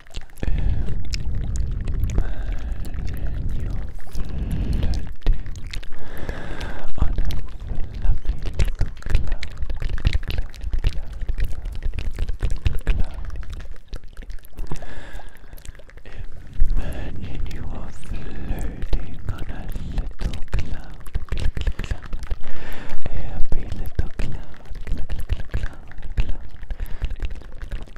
Imagine you floating on a lovely little cloud, cloud, cloud, cloud, cloud, cloud. Imagine you floating on a little cloud, cloud, cloud, happy little cloud, cloud, cloud, cloud.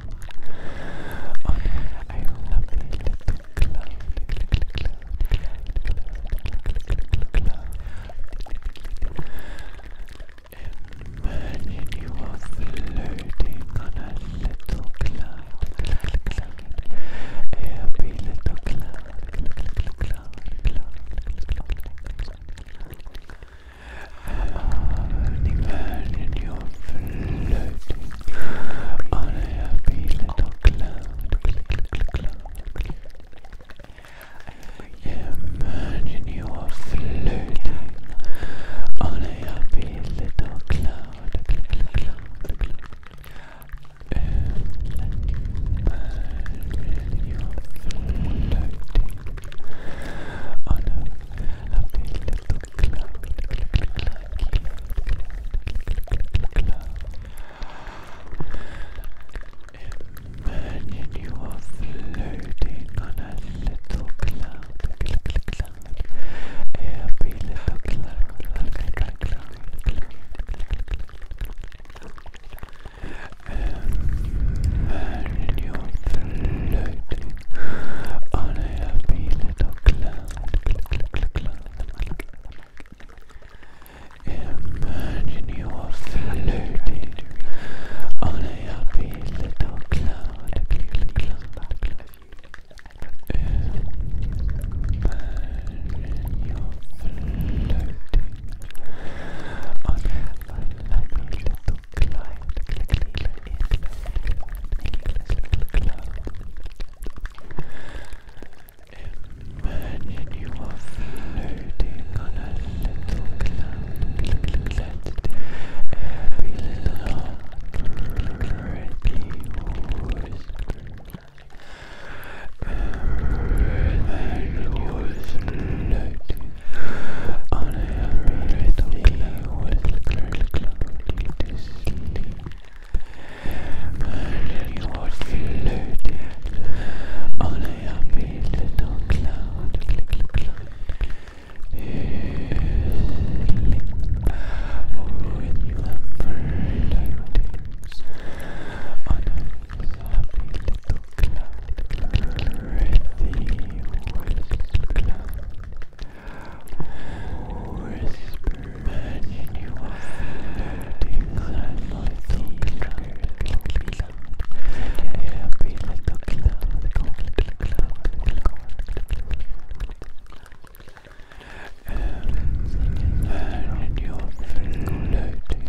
Oh, I love a little cloud, little cloud, cloud, cloud, cloud. Imagine you are floating on a little cloud, cloud, cloud. A happy little cloud, cloud, cloud, cloud, cloud, cloud imagine you floating on a happy little cloud. Imagine you floating on a happy little cloud. Imagine you floating on a lovely little cloud, Imagine you are floating on a little cloud, cloud, every little cloud, cloud, cloud, cloud, cloud and you floating on a happy little cloud. Imagine you floating on a happy little cloud. Imagine you floating on a happy little cloud, Imagine you are floating on a little cloud. Let every little pretty whisper. Imagine you are floating on every little cloud, to sleep. Early was floated on a happy little cloud, with the bird on a little cloud, breathy whisk cloud, whisper, imagine you are floating on a noisy trigger cloud, happy little cloud, cloud, cloud, cloud. Imagine you're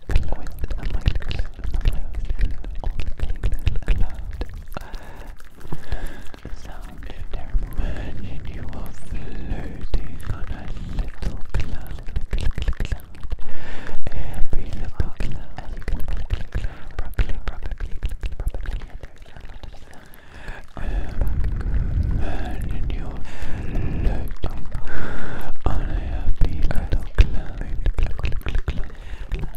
sound imagine you are floating on a little cloud and be the cloud and you can probably, probably, probably imagine you are floating on a happy little cloud People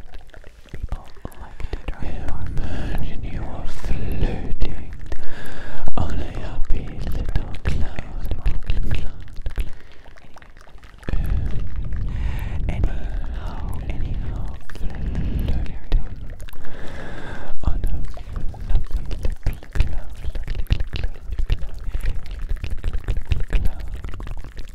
Imagine you are floating on a happy little cloud. Anyhow, anyhow, floating on a lovely little cloud, cloud, cloud, cloud, cloud, cloud, cloud, cloud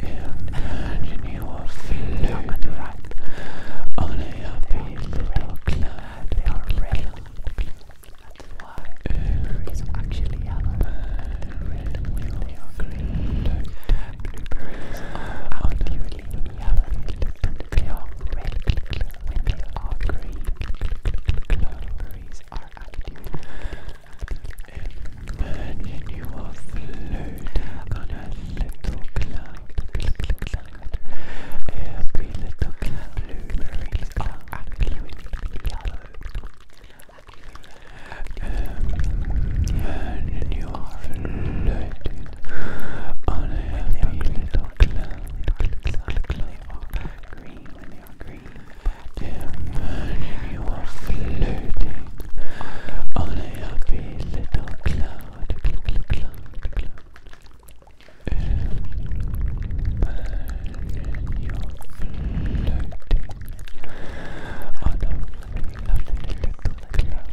Imagine you are floating on a little cloud. They are red. That's why blueberries actually yellow. Red when they are green. Blueberries are absolutely yellow. They are red when they Blueberries are actually Imagine you are floating on a little cloud. Every little cloud, blueberries are actually yellow. Imagine um, you are floating on a happy little cloud. They are green when they are green. Imagine you are floating on a happy little cloud, cloud, cloud, cloud. Imagine you are floating on a lovely little cloud, cloud,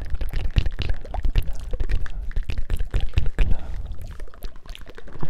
cloud, cloud, cloud, cloud, cloud.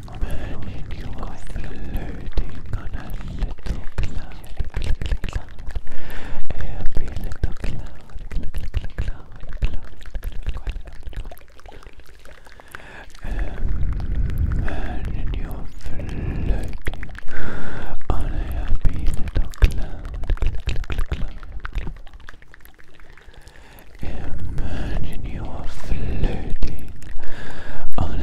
Burning you are floating on a little cloud. Every little cloud, cloud, cloud, cloud. Imagine you're floating on a little cloud. Imagine you are floating on a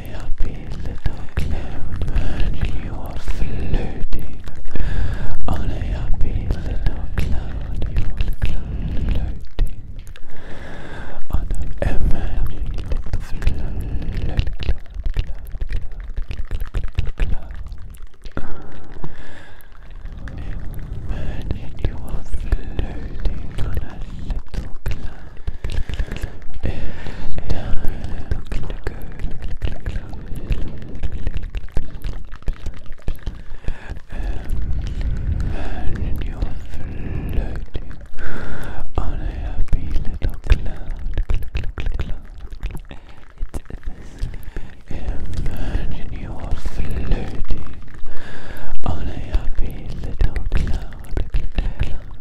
happy little clown man, you are floating on a little cloud, you are floating on a happy little cloud, cloud, cloud, cloud, Imagine you are floating on a little cloud. Imagine you're floating on a happy little cloud. Imagine you're floating on a happy little cloud.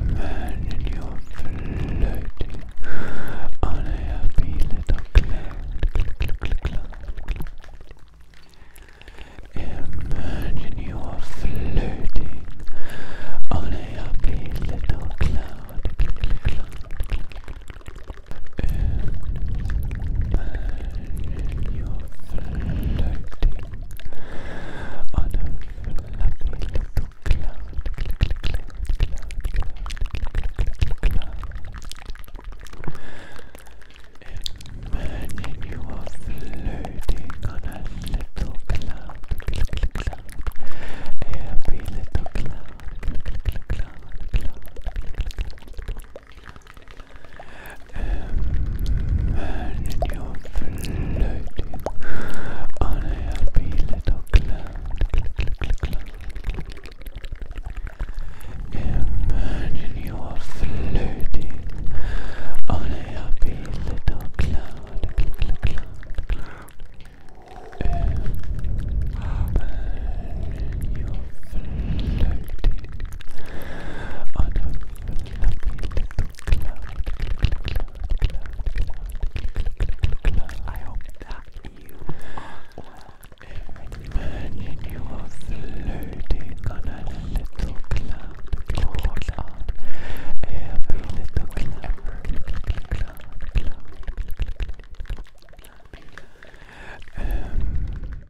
Imagine you're floating on a happy little cloud. Imagine you are floating on a happy little cloud. You're floating on a fluffy little cloud, cloud, cloud, cloud, cloud, cloud. Imagine you are floating on a little cloud, cloud, cloud, little cloud, cloud, cloud. Imagine you floating on a happy little cloud. Imagine you floating on a happy little cloud. Imagine you floating on a lovely little cloud, cloud, cloud, cloud, cloud, cloud. I hope that you are well. you are floating on a little cloud, cloud, cloud. Every little cloud, every little cloud, cloud. Um,